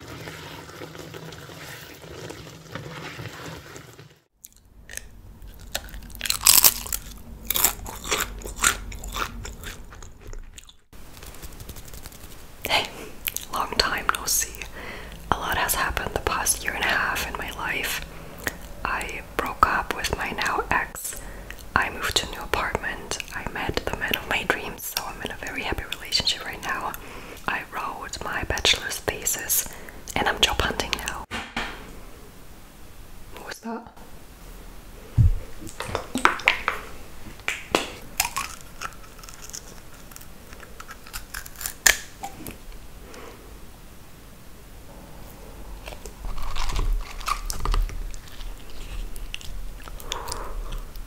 Hey, long time no see. A lot has happened the past year and a half in my life. I broke up with my now ex. I moved to a new apartment. I met the man of my dreams. Um, so I'm in a very happy relationship right now. I wrote my bachelor's thesis and I'm job hunting now. What was that?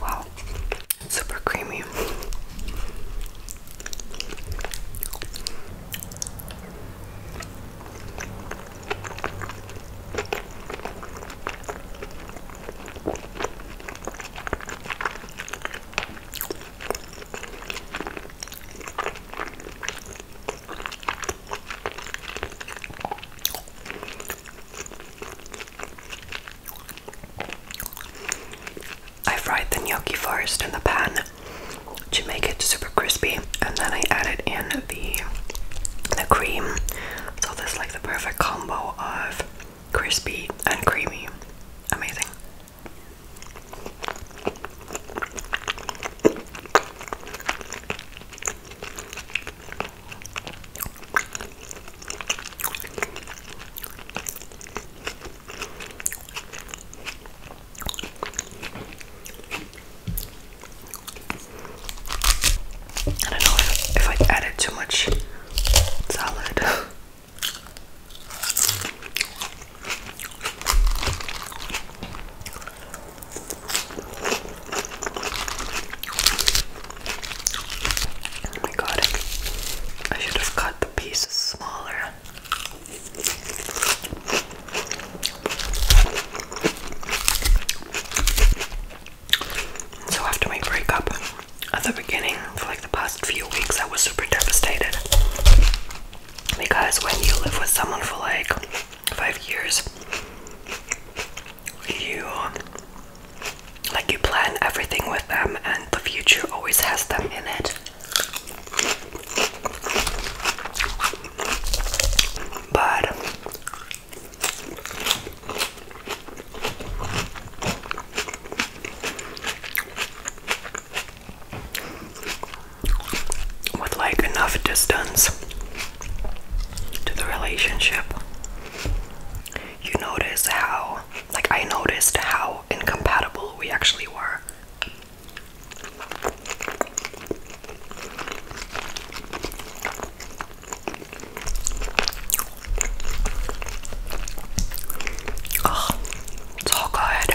Wow, super creamy. I fried the gnocchi first in the pan to make it super crispy, and then I added in the the cream. So this is like the perfect combo of crispy and creamy. Amazing. I don't know if, I added too much salad. Oh my god. I should have cut the pieces smaller. So after my breakup at the beginning for like the past few weeks I was super devastated. Because when you live with someone for like five years you um, like you plan everything with them and the future always has them in it but with like enough distance to the relationship you notice how, like, I noticed how incompatible we actually were. Oh, it's all good.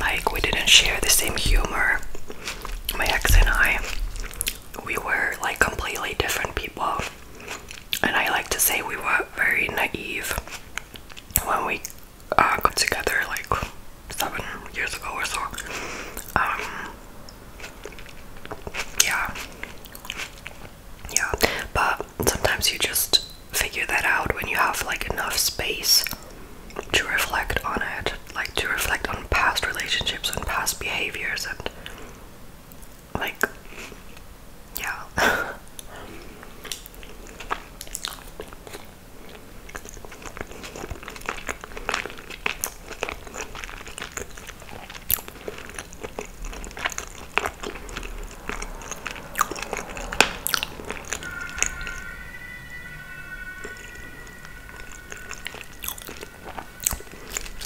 like we didn't share the same humor my ex and i we were like completely different people and i like to say we were very naive when we uh, got together like seven years ago or so. Um, yeah, yeah, but sometimes you just figure that out when you have like enough space to reflect on it, like to reflect on past relationships and past behaviors, and like, yeah.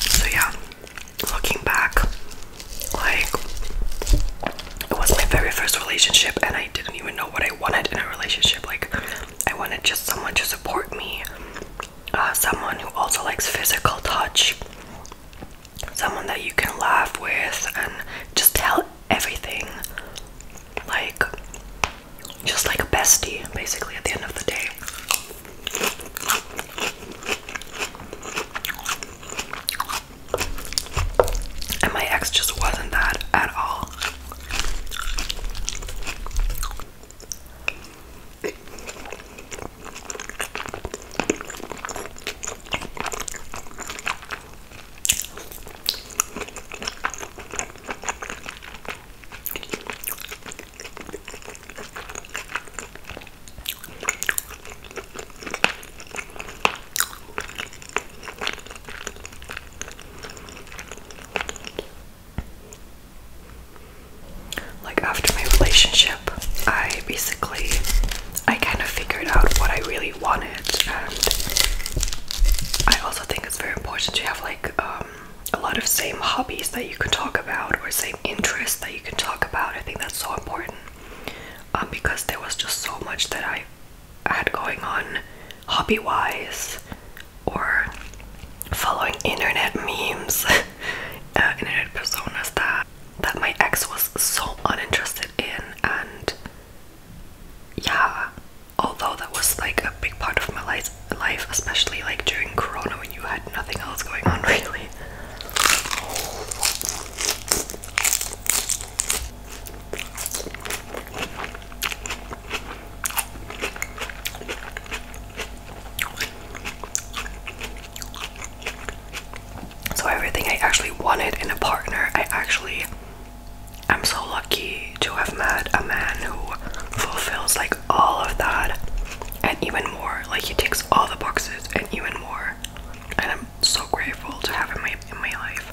So, yeah, looking back, like it was my very first relationship, and I I didn't even know what I wanted in a relationship. Like, I wanted just someone to support me, uh, someone who also likes physical touch, someone that you can laugh with and just tell everything. Like, just like a bestie, basically, at the end of the day. And my ex just wasn't that at all. Like after my relationship, I basically I kind of figured out what I really wanted and I also think it's very important to have like um, a lot of same hobbies that you can talk about or same interests that you can talk about. I think that's so important. Um, because there was just so much that I had going on hobby wise or following internet memes, uh, internet personas that, that my ex was so uninterested in. And yeah, although that was like a big part of my life, life especially like during Corona when you had nothing else going on, really. So, everything I actually wanted in a partner, I actually am so lucky to have met a man who fulfills like all of that and even more. Like, he takes all the boxes and even more and I'm so grateful to have in my in my life.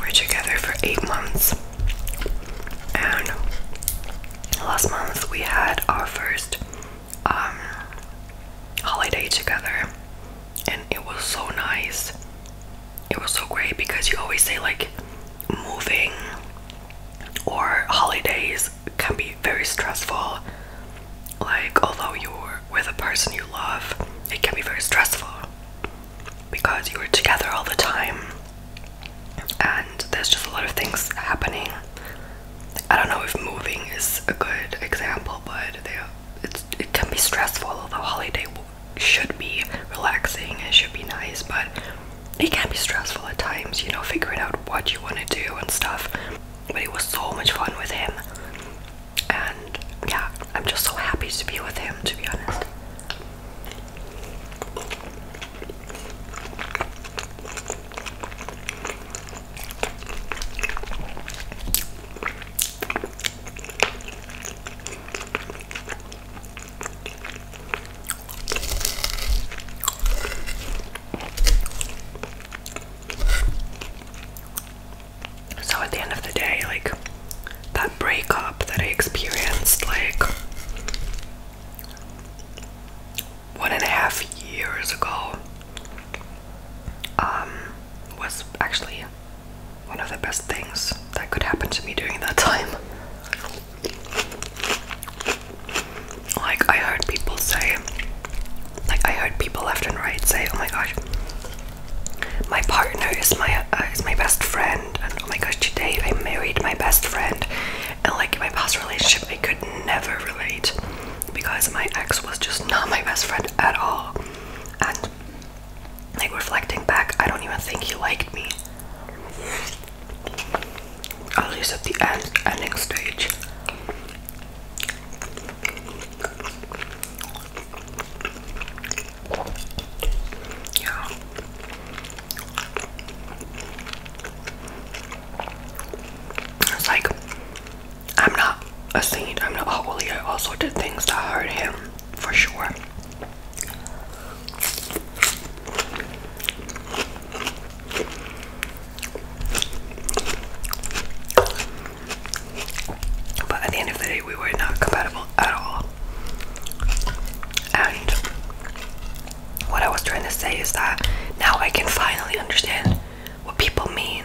We're together for eight months, and last month we had our first um, holiday together, and it was so nice. It was so great because you always say, like, moving or holidays can be very stressful. Like, although you're with a person you love, it can be very stressful because you were together all the time and there's just a lot of things happening. I don't know if moving is a good example, but they, it can be stressful. Although holiday should be relaxing it should be nice, but it can be stressful at times. You know, figuring out what you want to do and stuff. But it was so much fun with him, and yeah, I'm just so happy to be with him, to be honest. So at the end of the day, like that breakup that I experienced, like one and a half years ago, um, was actually one of the best things that could happen to me during that time. Like I heard people say, like I heard people left and right say, "Oh my gosh, my partner is my uh, is my best friend, and oh my gosh, today I married my best friend. And like in my past relationship, I could never relate because my ex was just not my best friend at all. And like reflecting back, I don't even think he liked me. At least at the end, ending stage. It's like I'm not a saint, I'm not holy. I also did things to hurt him for sure. But at the end of the day, we were not compatible at all. And what I was trying to say is that now I can finally understand what people mean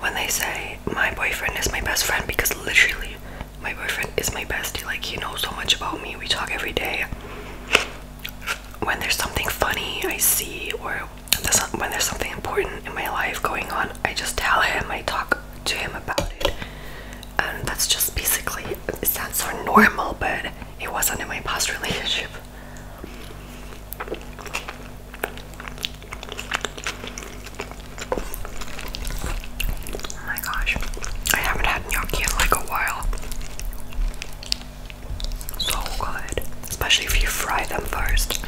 when they say my boyfriend is my best friend because literally my boyfriend is my bestie. Like, he knows so much about me. We talk every day. When there's something funny I see or when there's something important in my life going on, I just tell him, I talk to him about it. And that's just basically, it sounds so normal, but it wasn't in my past relationship. Oh my gosh, I haven't had gnocchi in like a while. So good, especially if you fry them first.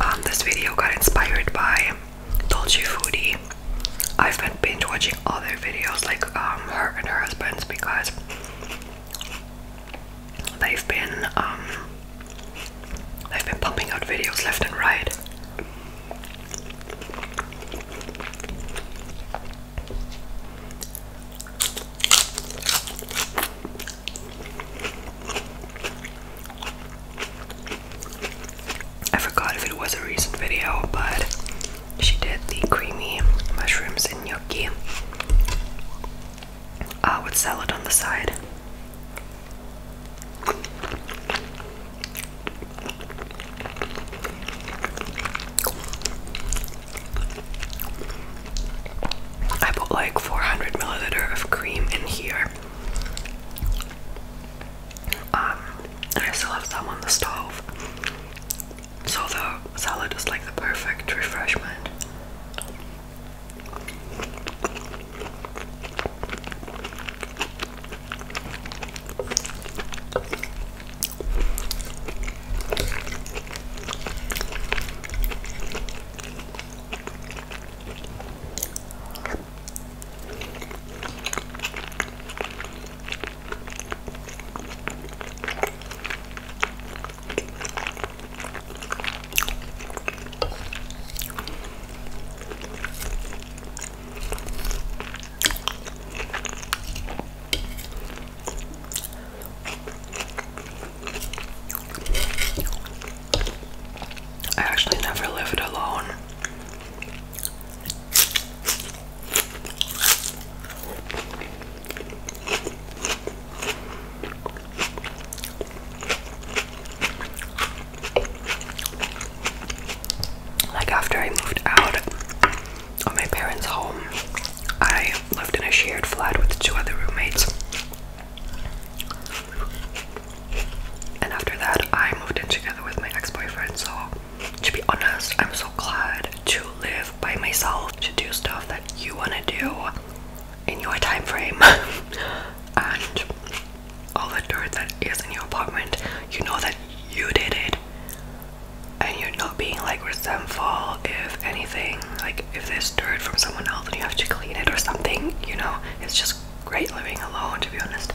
Um, this video got inspired by Dolce Foodie. I've been like binge watching other videos, like um, her and her husband's, because they've been um, they've been pumping out videos left and right. I forgot if it was a recent video, but she did the creamy mushrooms and gnocchi uh, with salad on the side. I put like 400 milliliter of cream in here. Um, I still have some on the stove. So the salad is like the perfect refreshment. I actually never lived alone. Like, after I moved out of my parents' home, I lived in a shared flat with two other roommates. And after that, I moved in together with my ex boyfriend, so to be honest, I'm so glad to live by myself, to do stuff that you want to do in your time frame. and all the dirt that is in your apartment, you know that you did it. And you're not being like resentful if anything, like if there's dirt from someone else and you have to clean it or something, you know? It's just great living alone, to be honest.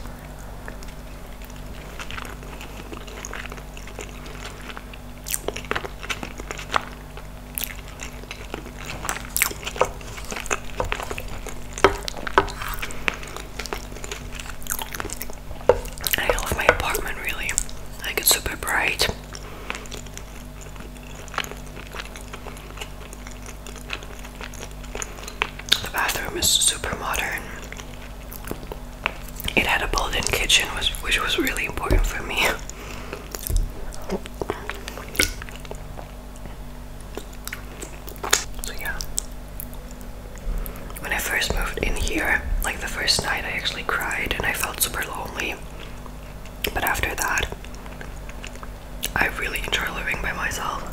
I love my apartment really. Like it's super bright. The bathroom is super modern. It had a built-in kitchen, which, was really important for me. So yeah. When I first moved in here, like the first night I actually cried and I felt super lonely. But after that, I really enjoy living by myself.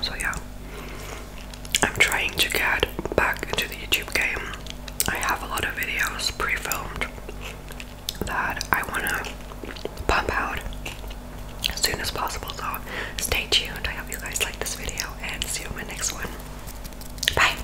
So, yeah, I'm trying to get back into the YouTube game. I have a lot of videos pre filmed that I want to pump out as soon as possible. So stay tuned. I hope you guys like this video and see you in the next one. Bye.